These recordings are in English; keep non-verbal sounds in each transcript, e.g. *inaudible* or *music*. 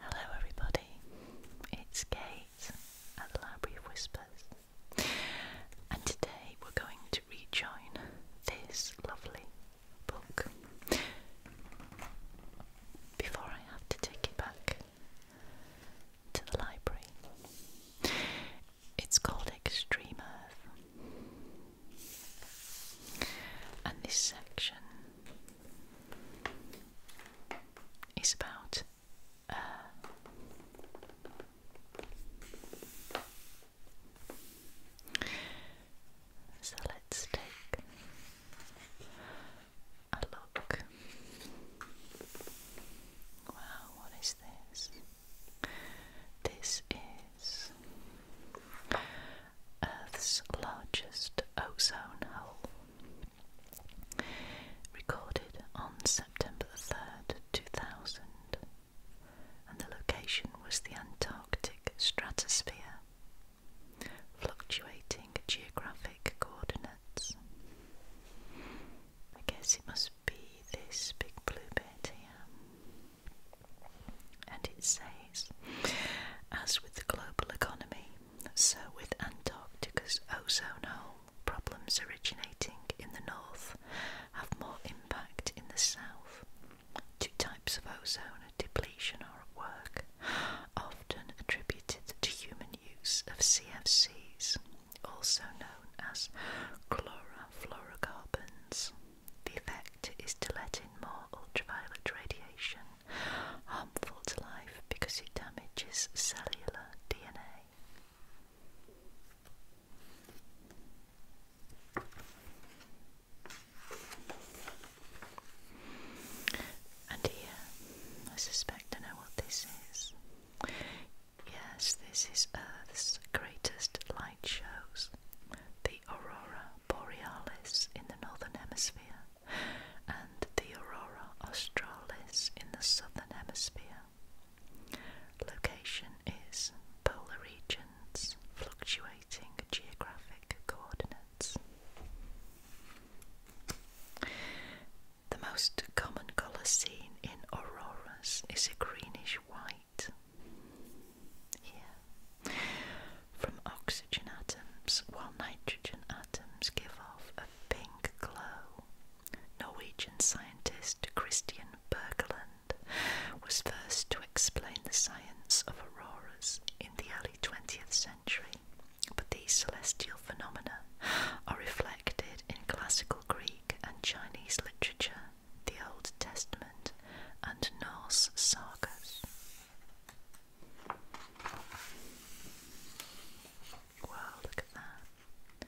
Hello, everybody. It's Kate at the Library of Whispers, and today we're going to rejoin this lovely book. Before I have to take it back to the library, it's called Extreme Earth. And this section is about uh, so let's take a look. Wow, what is this? This is Earth's largest ozone hole. Recorded on September 3rd, 2000, and the location was the Antarctic stratosphere, fluctuating geographic coordinates. I guess it must be this big blue bit here. And it says, as with the global economy, so with Antarctica's ozone hole, problems originating in the north have more impact in the south. Two types of ozone, depletion are at work, often attributed to human use of CFCs, also known as chlorofluorocarbons. The effect is to let in more ultraviolet radiation, harmful to life because it damages cellular DNA. And here, I suspect I know what this is. Yes, this is Earth's greatest light shows aurora borealis in the northern hemisphere and the aurora australis in the southern hemisphere. Location is polar regions, fluctuating geographic coordinates. The most common colour seen in auroras is a greenish white from oxygen atoms, while nitrogen atoms give off a pink glow. Norwegian scientist Christian Berglund was first to explain the science of auroras in the early 20th century, but these celestial phenomena are reflected in classical Greek and Chinese literature, the Old Testament, and Norse sagas. Wow, look at that.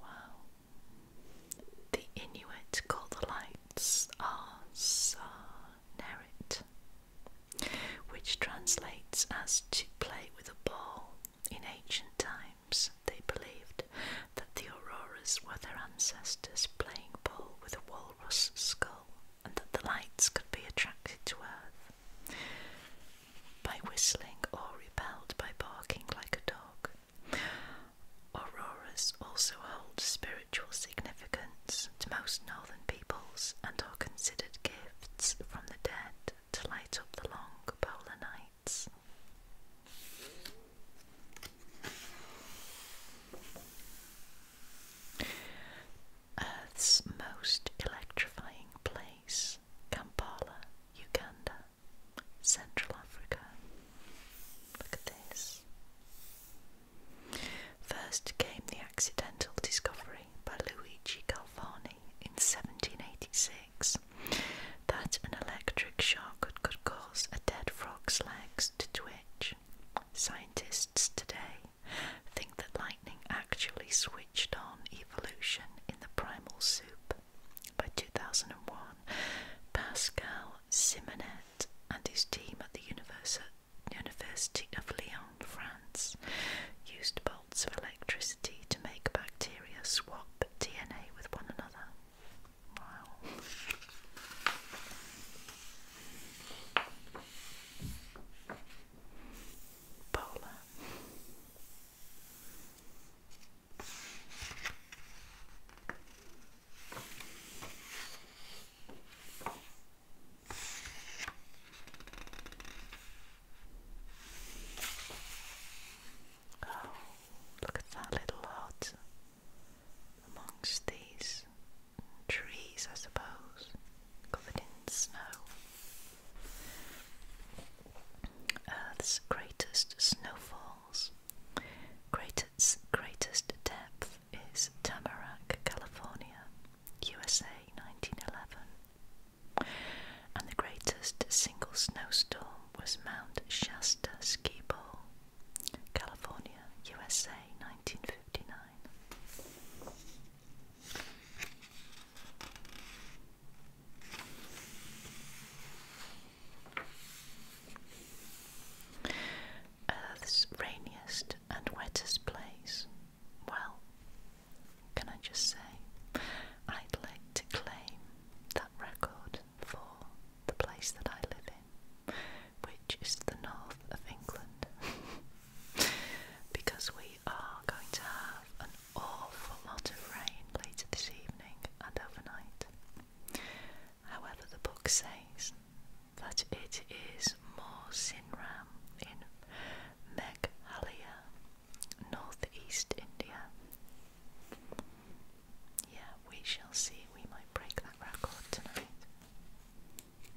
Wow. The Inuit call the lights Arsanerit, which translates as to play with a ball. In ancient times, they believed that the auroras were their ancestors playing ball with a wolf walrus skull and that the lights could be attracted to earth by whistling or repelled by barking like a dog. Auroras also hold spiritual significance to most northern peoples and are considered gifts from the dead to light up the long polar nights. Earth's most electrifying place, Kampala, Uganda, Central Africa. Look at this. First came the accidental discovery by Luigi Galvani in 1786 that an electric shock could cause a dead frog's legs to twitch. Scientists today think that lightning actually switched on evolution in the primal soup. By 2001, Pascal Simonet and his team at the University of Lyon, France, used bolts of electricity to make bacteria swap DNA with one another. Wow. Paula. Oh, look at that little hut amongst these trees, I suppose, covered in snow. Earth's greatest snowfalls. Greatest, greatest depth is Tamarack, California, USA, 1911. And the greatest single snowstorm was Mount Shasta Ski Ball, California, USA, 1959. Earth's rainiest and wettest place. Well, can I just say, I'd like to claim that record for the place that I live *laughs* which is the north of England, *laughs* because we are going to have an awful lot of rain later this evening and overnight. However, the book says that it is more Sinram in Meghalaya, northeast India. Yeah, we shall see. We might break that record tonight.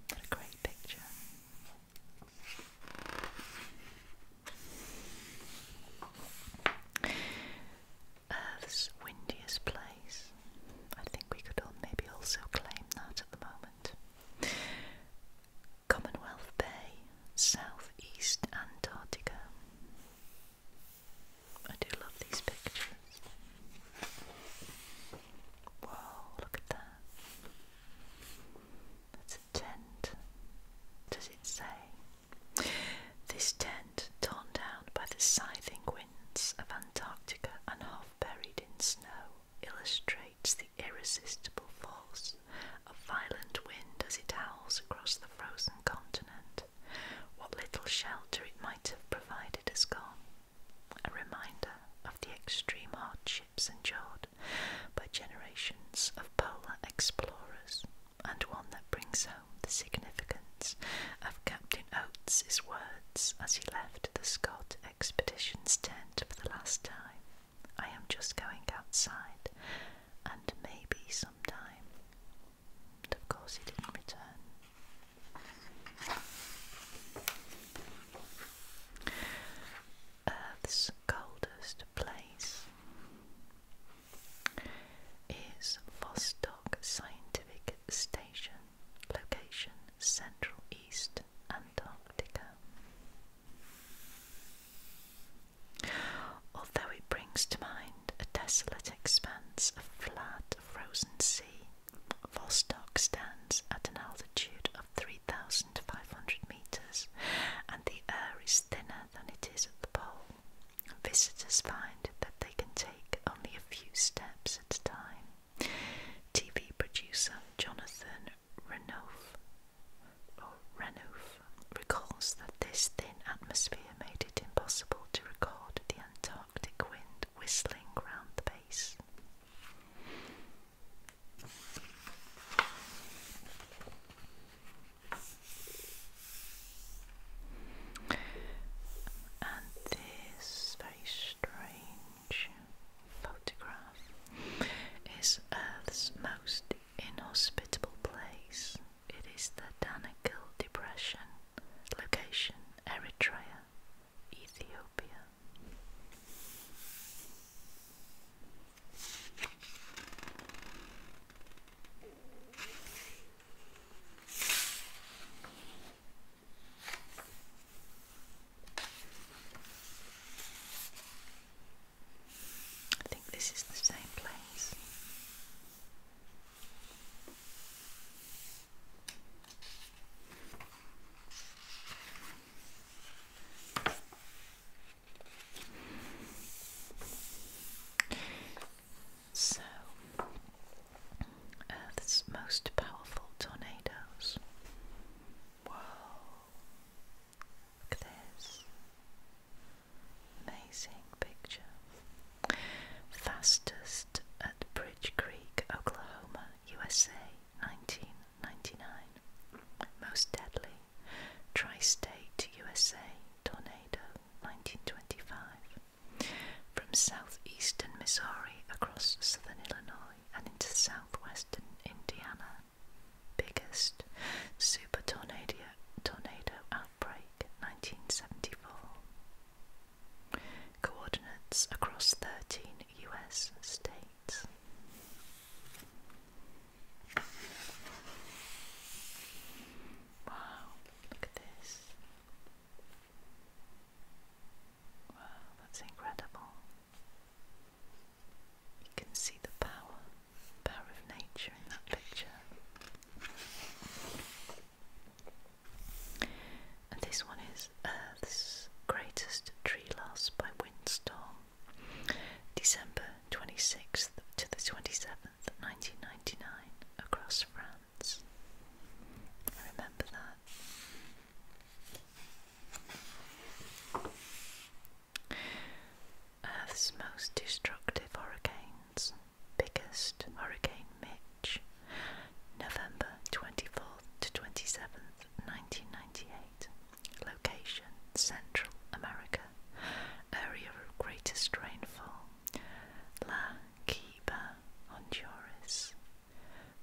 What a great picture. Earth's windiest place. I think we could maybe also claim that at the moment. Commonwealth Bay, Southeast Antarctica. I do love these pictures. Whoa, look at that. That's a tent. Does it say? This tent, torn down by the scything winds of Antarctica and half buried in snow, illustrates the irresistible force of violent wind as it howls across the frozen continent. What little shelter it might have provided has gone a reminder of the extreme hardships endured by generations of polar explorers, and one that brings home the significance of Captain Oates' words as he left the Scott Expedition's tent for the last time. I am just going outside, and maybe sometime. And of course, he didn't return. Earth's coldest place is Vostok Scientific Station, location Central East Antarctica. Although it brings to mind a desolate expanse of flat, frozen sea Vostok stands at an altitude of 3,500 meters, and the air is thinner than it is at the pole. Visitors find that they can take only a few steps at a time. TV producer Jonathan Renouf, recalls that this thin atmosphere made it impossible to record the entire Arctic wind whistling round the base. And this very strange photograph is Earth's most inhospitable place. It is the Danakil Depression, location Eritrea, Ethiopia. I think this is the same place. So, Earth's uh, most powerful tornadoes. Whoa, look at this. Amazing picture. Fastest at Bridge Creek, Oklahoma, USA. 1999. Most deadly, Tri State USA tornado 1925. From southeastern Missouri across southern Illinois and into southwestern Indiana. Biggest super tornado, tornado outbreak 1974. Coordinates across 13 US states. Wow, look at this. Wow, that's incredible. You can see the power, power of nature in that picture. And this one is Earth's uh, Greatest Tree Loss by Windstorm, December 26th to the 27th, 1999, across France. remember that. Earth's most destructive hurricanes. Biggest Hurricane Mitch November 24th to 27th, 1998. Location Central America. Area of greatest rainfall La Quiba, Honduras.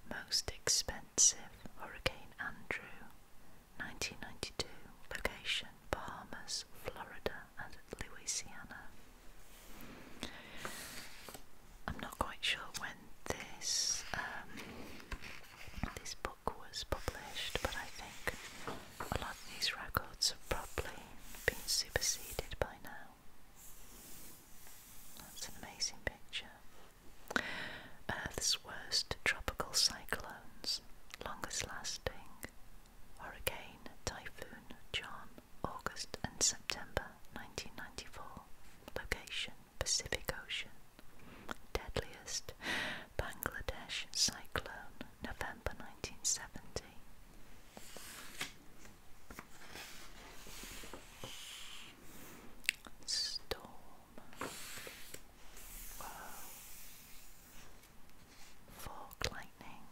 Most expensive Hurricane Andrew, 1992. Location Bahamas, Florida, and Louisiana. I'm not quite sure when this um, this book was published, but I think a lot of these records have probably been superseded by now. That's an amazing picture. Earth's uh, worst tropical cyclones, longest lasting hurricane typhoon John, August and September 1994. Location Pacific Ocean deadliest Bangladesh cyclone, November 1970. Storm. Whoa. lightning.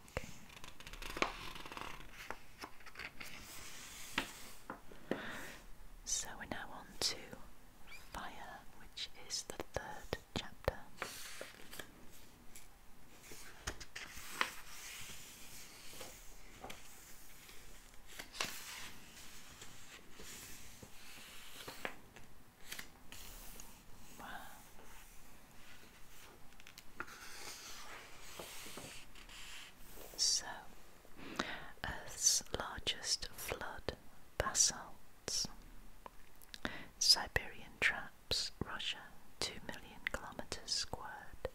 So we're now on to Fire, which is the third chapter. So, Earth's largest flood basalts. Siberian traps, Russia, 2 million kilometers squared.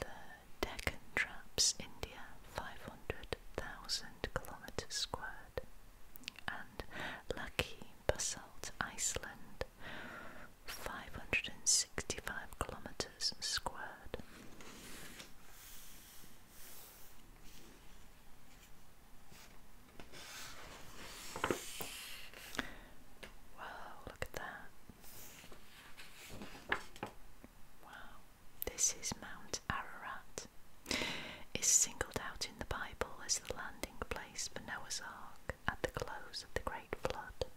The Deccan traps, India, 500,000 kilometers squared. And Laki basalt, Iceland, 565 kilometers squared. Wow, look at that. Wow, this is Mount Ararat. It's singled out in the Bible as the landing place for Noah's Ark at the close of the Great Flood,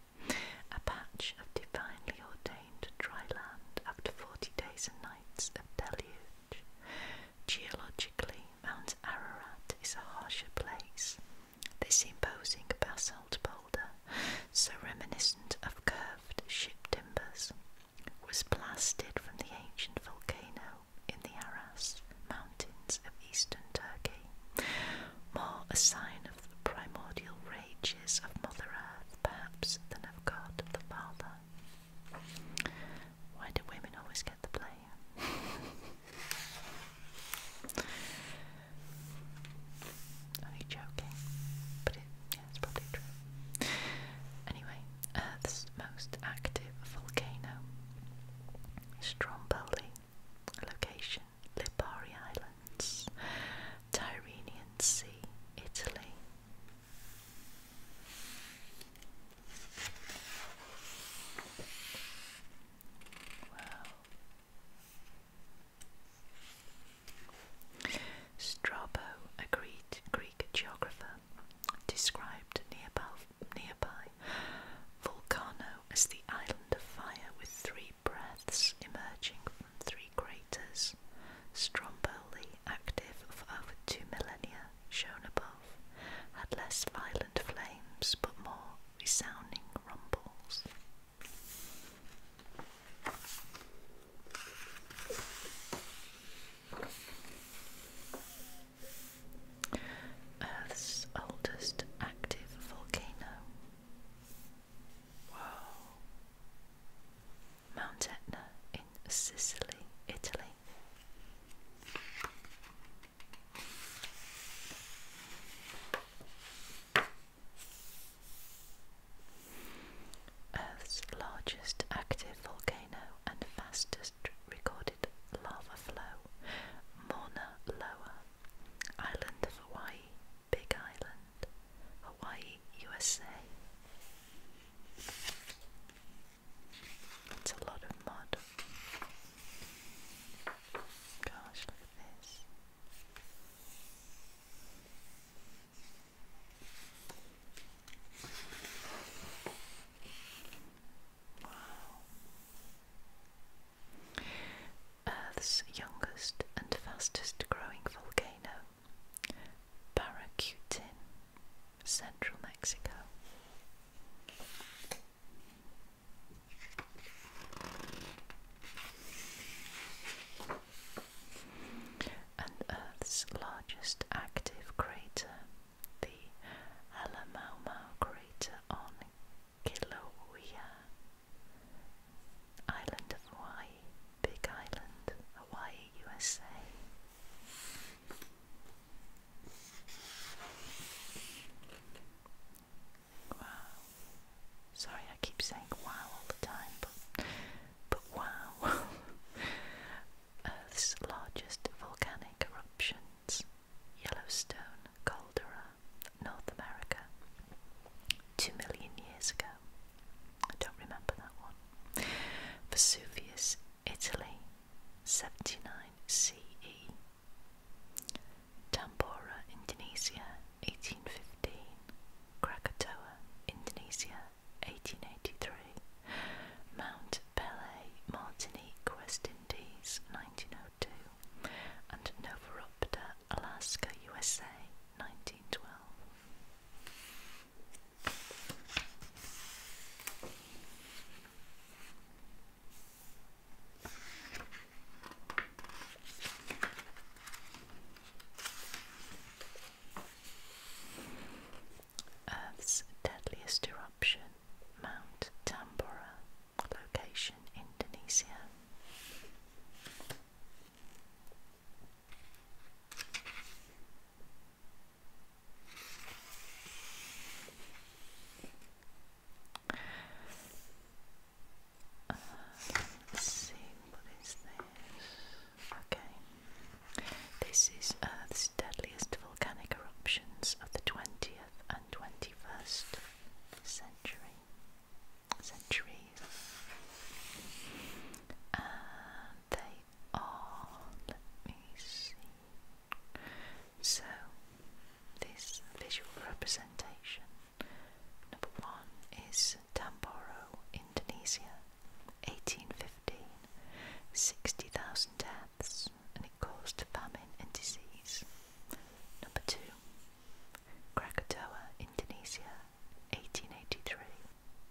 a patch of divinely ordained to dry land after 40 days and nights of deluge. Geologically, Mount Ararat is a harsher place. This imposing basalt boulder, so reminiscent of curved ship timbers, was blasted from the ancient volcano in the Aras mountains of eastern Turkey, more a sign of the primordial rages of Mother Earth perhaps than Son of God, the Father. Why do women always get the blame? *laughs* Only joking, but it's probably true. Anyway, Earth's uh, most active volcano, Stromboli, location Lipari Islands, Tyrrhenian Sea, Italy. Strabo, a Greek, geographer, described nearby, nearby Volcano as the island of fire with three breaths emerging three craters, Stromboli, active for over two millennia, shown above, had less violent flames but more resounding rumbles. Earth's oldest active volcano. Wow. Mount Etna in Sicily, Italy. Earth's largest active volcano and fastest recorded lava flow, Mauna Loa, island of Hawaii, Big Island. Hawaii, USA. That's a lot of mud. Gosh, look at this. Wow. Earth's youngest and fastest growing volcano Paracutin, central Mexico. And Earth's largest active crater, the Alamaumau crater on Kilauea, island of Hawaii. Big Island, Hawaii, USA. Wow. Sorry, I keep saying wow all the time, but, but wow. *laughs* Earth's largest volcanic eruptions Yellowstone, Caldera, North America. Two million years ago. I don't remember that one. Vesuvius, Italy, 79 CE. Tambora, Indonesia, 1815. Krakatoa, Indonesia, 1883. Mount Pele, Martinique, West Indies, 1902. And Novarupta, Alaska, USA, 1912. Earth's deadliest eruption, Mount Tambora, location Indonesia. Uh, this? Okay, this is Earth's uh, deadliest volcanic eruptions of the twentieth and twenty-first century. Centuries, they are, let me see. So, this visual representation, number one is Tamboro, Indonesia, 1815, 60,000 deaths, and it caused famine and disease. Number two, Krakatoa, Indonesia, 1883,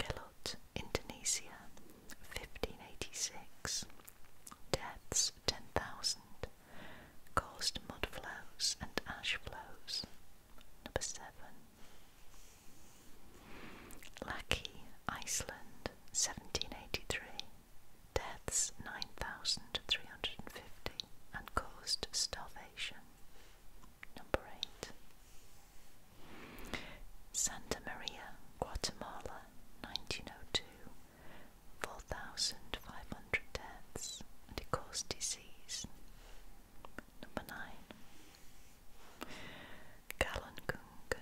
Gelot, Indonesia, 1586. Deaths 10,000, caused mud flows and ash flows. Number 7. Laki, Iceland, 1783. Deaths 9,350 and caused starvation. Number 8. Santa Maria, Guatemala, 1902. 4,500 deaths and it caused disease. Number 9. Galunggung,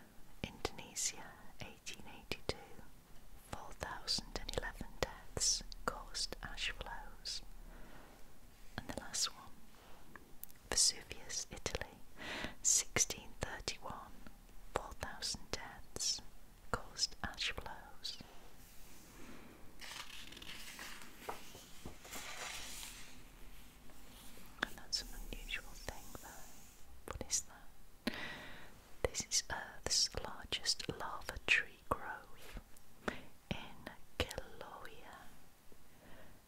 Indonesia, 1882. 4,011 deaths caused ash flows. And the last one. Vesuvius, Italy, 1631, 4,000 deaths caused ash flows. And that's an unusual thing there. What is that? This is Earth's largest lava tree grove in Kilauea,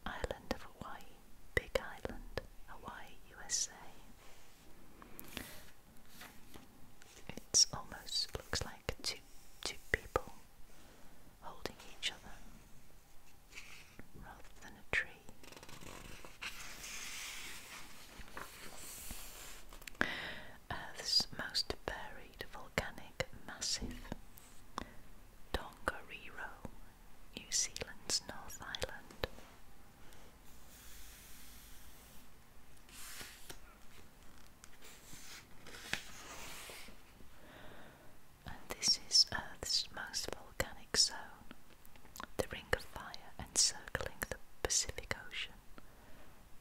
Island of Hawaii, Big Island, Hawaii, USA. It's almost looks like two two people holding each other rather than a tree. Earth's most buried volcanic massive. Tongariro, New Zealand's North Island. this is Earth's most volcanic zone, the Ring of Fire encircling the Pacific Ocean,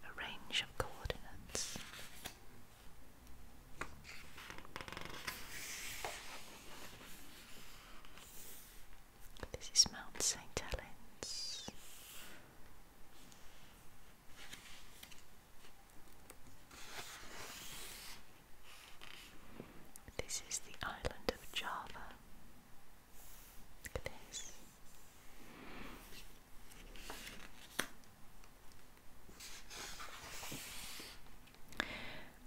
a range of coordinates. This is Mount St. Helens. This is the island of Java. Look at this.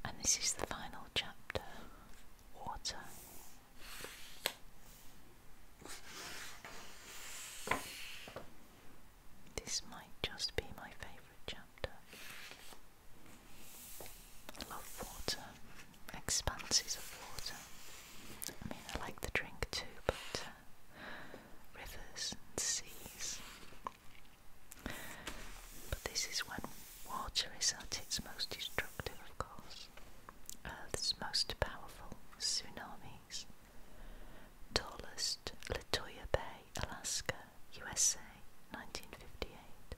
And this is the final chapter Water. This might just be my favourite chapter. I love water, expanses of water. I mean, I like the drink too, but uh, rivers and seas but this is when water is at its most destructive, of course. Earth's most powerful tsunamis. Tallest, Latoya Bay, Alaska, USA, 1958.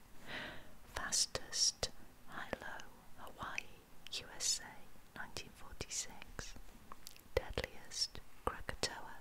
Fastest, Hilo, Hawaii, USA, 1946. Deadliest, Krakatoa,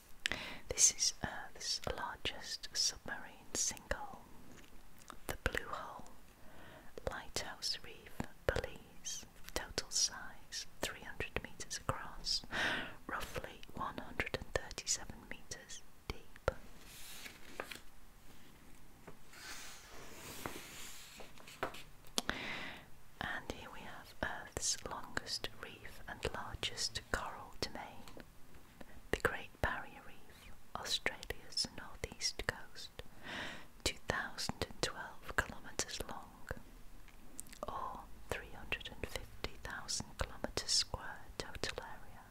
This is Earth's uh, largest submarine sinkhole, the Blue Hole, Lighthouse Reef, Belize, total size 300 metres across, roughly 137 metres deep. And here we have Earth's longest reef and largest coral domain, the Great Barrier Reef, Australia's northeast coast, 2,012 kilometres long, or 350,000 kilometres squared total area.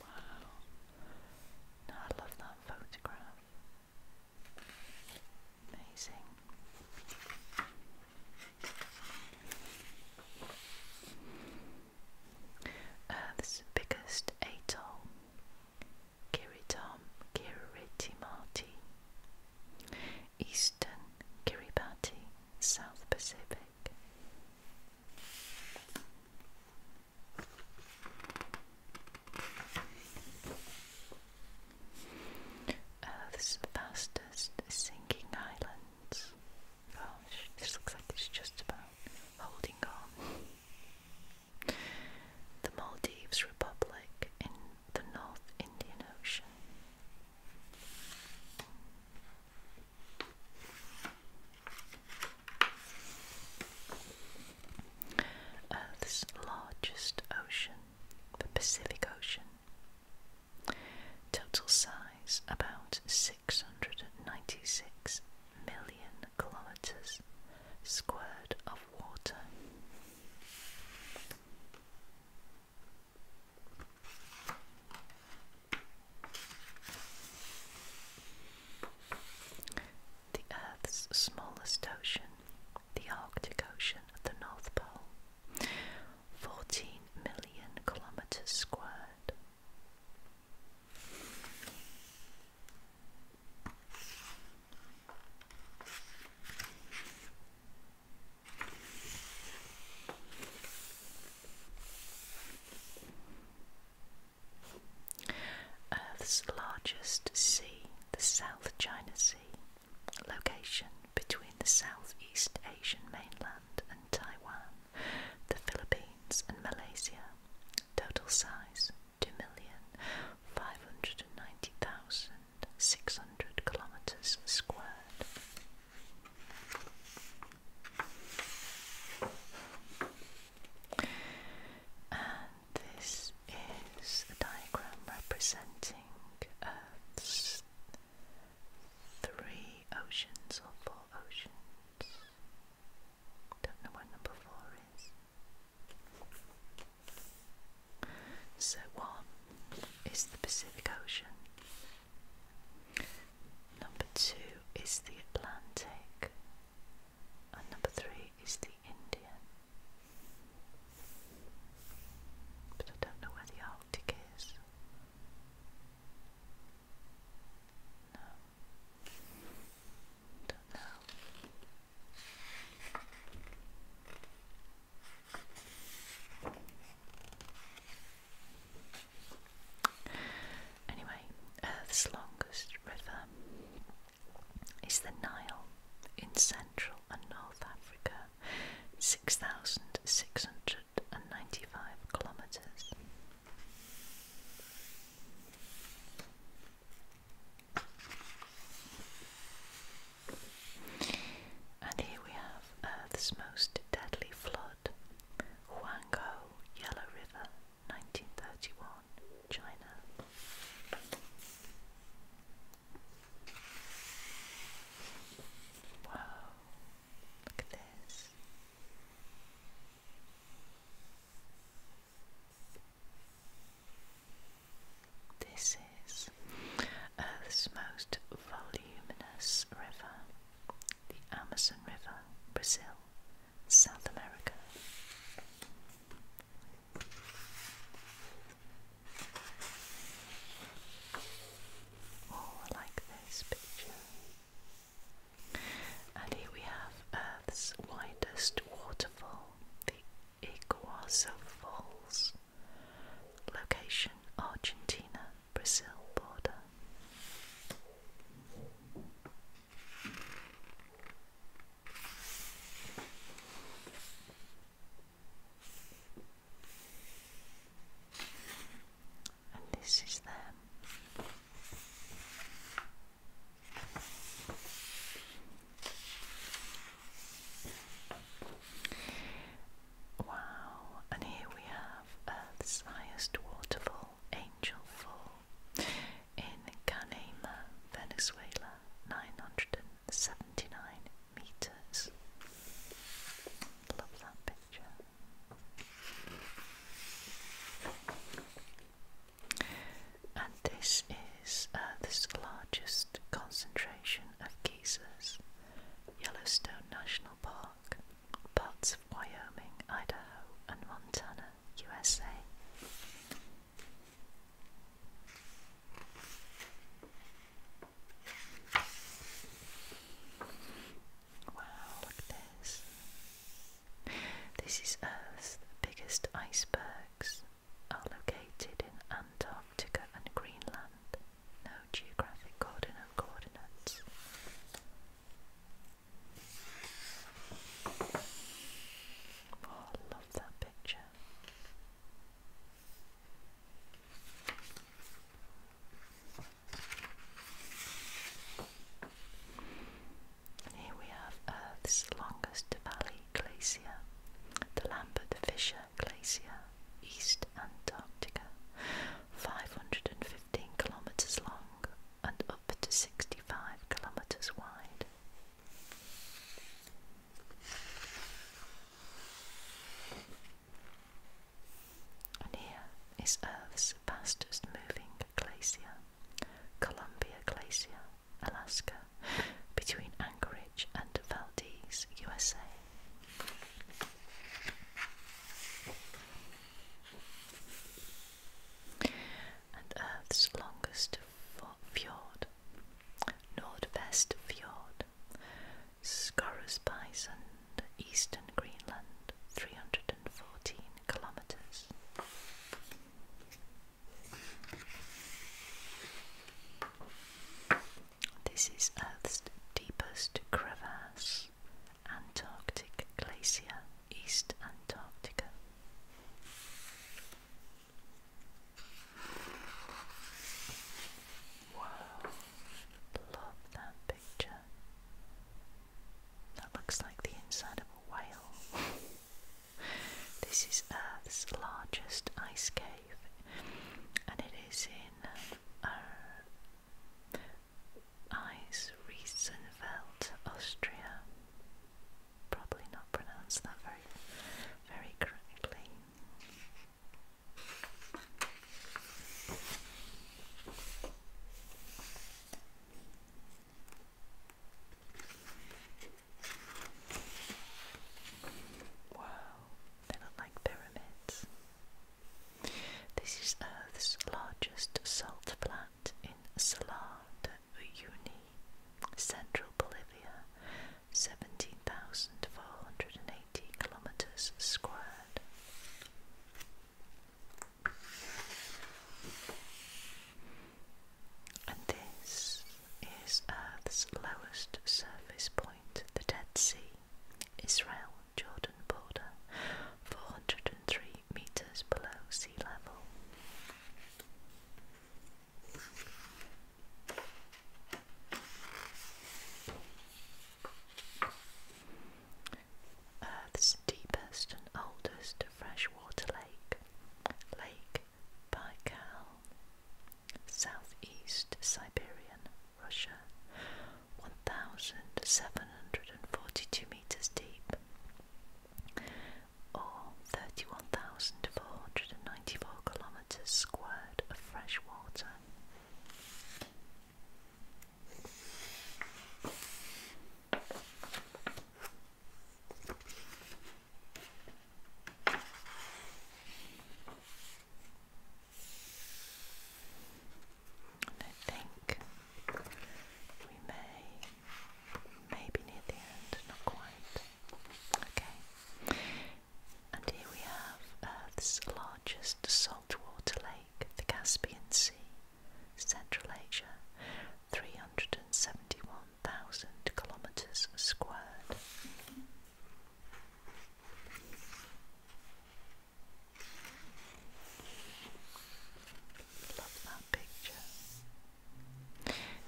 Wow. I love that photograph. Amazing. Earth's uh, biggest atoll, Kiritam Eastern Kiribati, South Pacific. Earth's fastest sinking island. Gosh, this looks like it's just about holding on. The Maldives Republic in the North Indian Ocean. Earth's largest ocean, the Pacific Ocean. Total size about 696 million kilometers squared of water. The Earth's smallest ocean, the Arctic Ocean at the North Pole, 14 million kilometres squared. Earth's largest sea, the South China Sea, location between the Southeast Asian mainland and Taiwan, the Philippines, and Malaysia. Total size 2,590,600 kilometers squared this is a diagram representing Earth's three oceans or four oceans. Don't know what number four is. So, one is the Pacific Ocean, number two is the Atlantic, and number three is the Indian. But I don't know where the Arctic is. No. Don't know. Anyway, Earth's longest river is the Nile in Central and North Africa, 6,695 kilometres. And here we have Earth's most deadly flood, Huangho Yellow River, 1931. China. Wow, look at this. This is Earth's most voluminous river, the Amazon River, Brazil. South America. Oh, like this picture. And here we have Earth's widest waterfall, the Iguazu Falls. Location Argentina Brazil border this is them. Wow, and here we have Earth's uh, highest waterfall, Angel Falls in Canaima, Venezuela, 979 meters. Love that picture. And this is uh, largest concentration of geysers. Yellowstone National Park, parts of Wyoming, Idaho, and Montana, USA. Wow, look at this. This is Earth's biggest icebergs are located in Antarctica and Greenland. No geographic coordinate coordinates. Oh, that picture. Here we have Earth's longest valley glacier, the Lambert Fisher Glacier, East Antarctica, 515 kilometres long and up to 65 kilometres wide. And here is Earth's fastest moving glacier, Columbia Glacier, Alaska, between Anchorage and Valdez, USA. And Earth's longest Fjord, Nordvest Fjord, Skorrosbysund, Eastern Greenland, 314 kilometres. This is Earth's deepest crevasse, Antarctic Glacier, East Antarctica. Wow, love that picture. That looks like the inside of a whale. this is Earth's largest ice cave, and it is in uh, Eisriesenfeld, Austria probably not pronounced that very, very correctly. Wow, they look like pyramids. This is Earth's largest salt plant in Salar Uyuni, central Bolivia, 17,480 kilometers squared. And this is Earth's lowest surface point, the Dead Sea, Israel Jordan border, 403 meters below sea level. Earth's deepest and oldest freshwater lake, Lake Baikal, southeast Siberian, Russia, 1,742 meters deep or 31,494 kilometres squared of fresh water. I think we may, maybe near the end, not quite. Okay. And here we have Earth's largest saltwater lake, the Caspian Sea, Central Asia, 371,000 kilometres squared. Love that picture.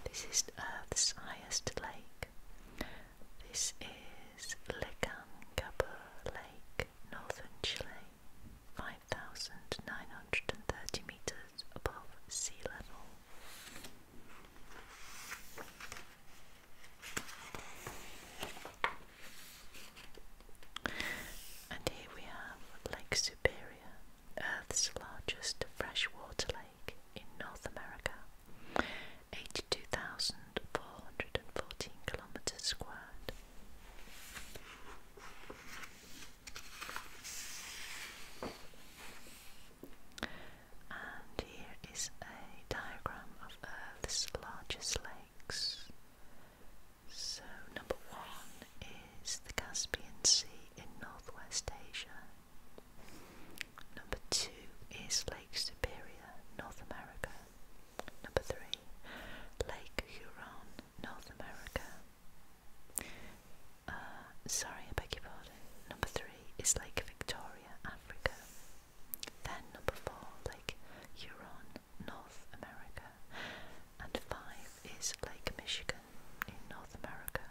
This is Earth's highest lake. This is Lecancapu Lake, northern Chile, 5,930 meters above sea level. And here we have Lake Superior, Earth's largest freshwater in North America, 82,414 kilometers squared. And here is a diagram of Earth's largest lakes. So, number one is the Caspian Sea in northwest Asia. Number two is Lake Superior, North America. Number three, Lake Huron, North America. Uh, sorry, I beg your pardon. Number three is Lake Victoria, Africa. Then number four, Lake Huron, North America. And five is Lake Michigan in North America.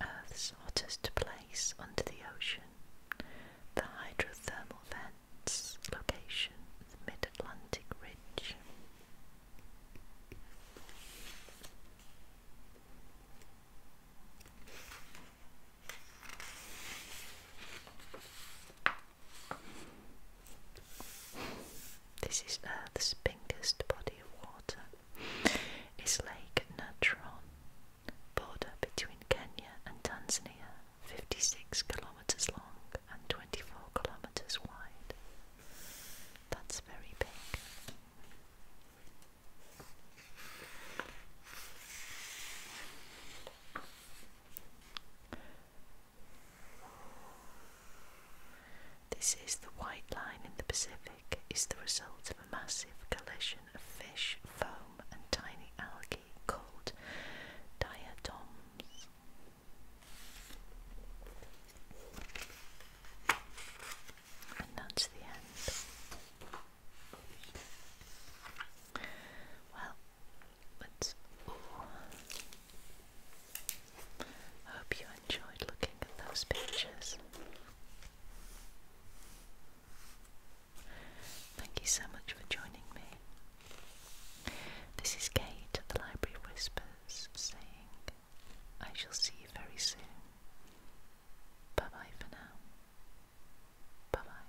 Earth's hottest place under the ocean, the hydrothermal vents location, the mid Atlantic Ridge. This is Earth's biggest body of water. It's Lake Natron, border between Kenya and Tanzania, 56 kilometers long and 24 kilometers wide. That's very big. This is the white line in the Pacific is the result of a massive collision of fish, foam and tiny algae called diatoms. And that's the end. Well, let's. Hope you enjoyed looking at those pictures. Thank you so much for joining me. This is Kate at the Library of Whispers saying, I shall see you very soon. Bye bye for now. Bye bye.